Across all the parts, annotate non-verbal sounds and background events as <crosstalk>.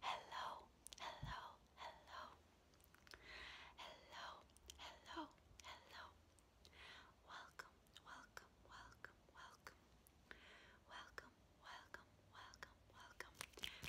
Hello, hello, hello, hello, hello, hello. Welcome, welcome, welcome, welcome, welcome, welcome, welcome, welcome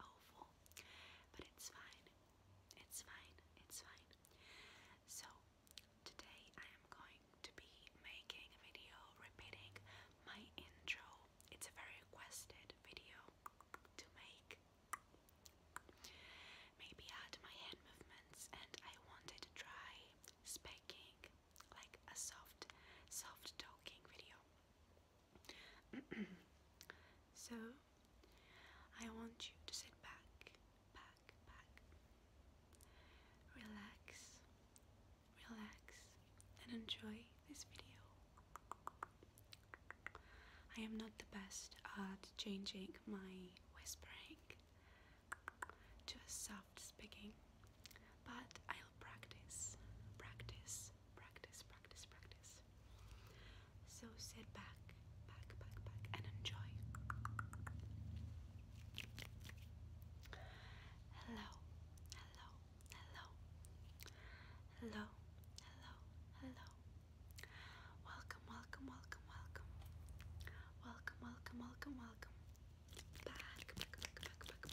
oval, but it's fine. It's fine. It's fine. So, today I am going to be making a video repeating my intro. It's a very requested video to make. Maybe add my hand movements, and I wanted to try speaking like a soft, soft talking video. <clears throat> so I want you to sit back, back, back. Relax, relax, and enjoy this video. I am not the best at changing my whispering to a soft speaking, but I'll practice, practice, practice, practice, practice. So sit back, back, back, back, and enjoy. Hello, hello, hello, hello, hello, hello. Welcome, welcome, welcome, welcome, welcome, welcome, welcome, welcome. Back, back, back, back, back,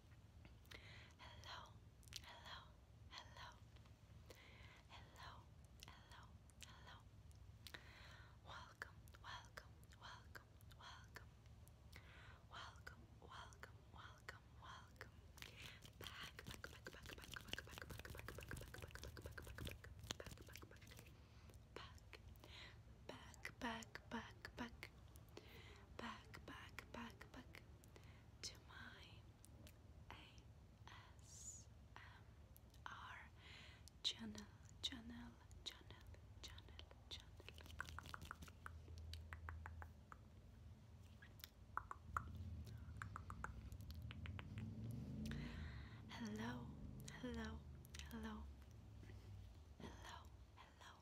Hello, hello, hello, hello, hello, hello. Welcome, welcome, welcome, welcome, welcome, welcome, welcome, welcome. Back, back, back, back, back, back, back, back, back, back, back, back, back, back, back, back, back. Back, back, back, back, back, back, back, back, to my ASMR channel, channel, channel, channel, channel. Hello, hello, hello, hello, hello,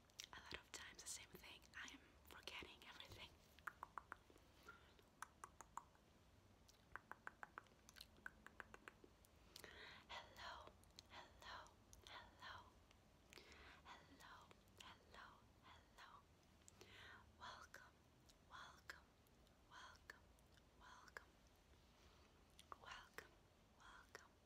a lot of times the same thing. I am forgetting everything. Hello, hello, hello, hello, hello, hello. Welcome, welcome, welcome, welcome, welcome, welcome,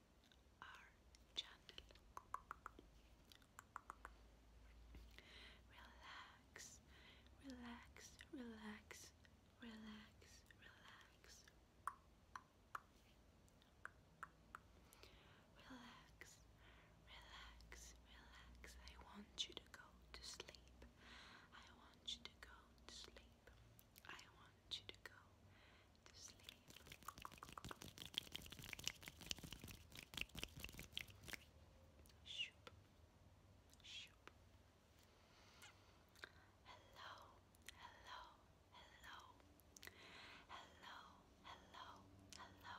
our channel. Relax, relax, relax, relax, relax. Relax, relax, relax. I want you to go to sleep. I want you to go to sleep. I want you to go to sleep. Hello, hello, hello. Hello, hello, hello.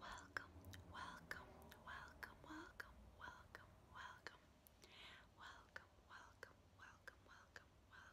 Welcome, welcome, welcome, welcome, welcome, welcome. Welcome, welcome, welcome, welcome, welcome.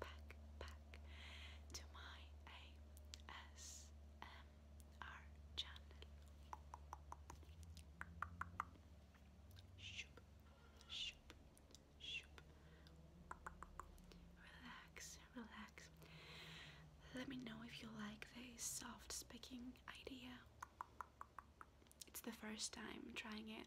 back, back to my ASMR channel. Shoop, shoop, shoop. Relax, relax. Let me know if you like this soft speaking idea. It's the first time trying it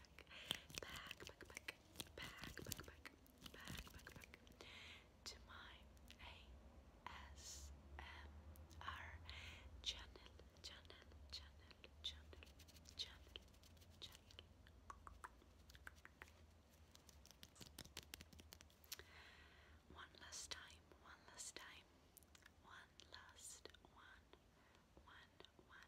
back, back, back, back, back, back, back, back, back, to my ASMR channel, channel, channel, channel, channel, channel. One last time, one last time, one last, one, one, one.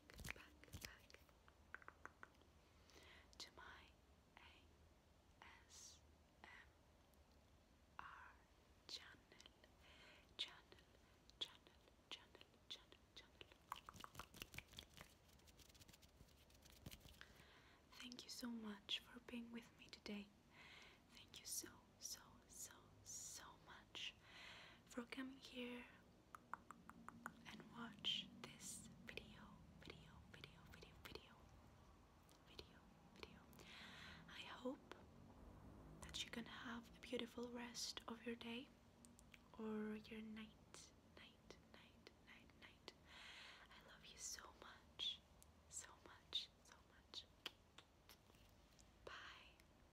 to my ASMR channel, channel, channel, channel, channel, channel. Thank you so much for being with me today. Thank you so, so, so, so much for coming here and watch this video, video, video, video, video, video, video. I hope that you can have a beautiful rest of your day or your night, night, night, night, night. I love you so much, so much, so much. Bye.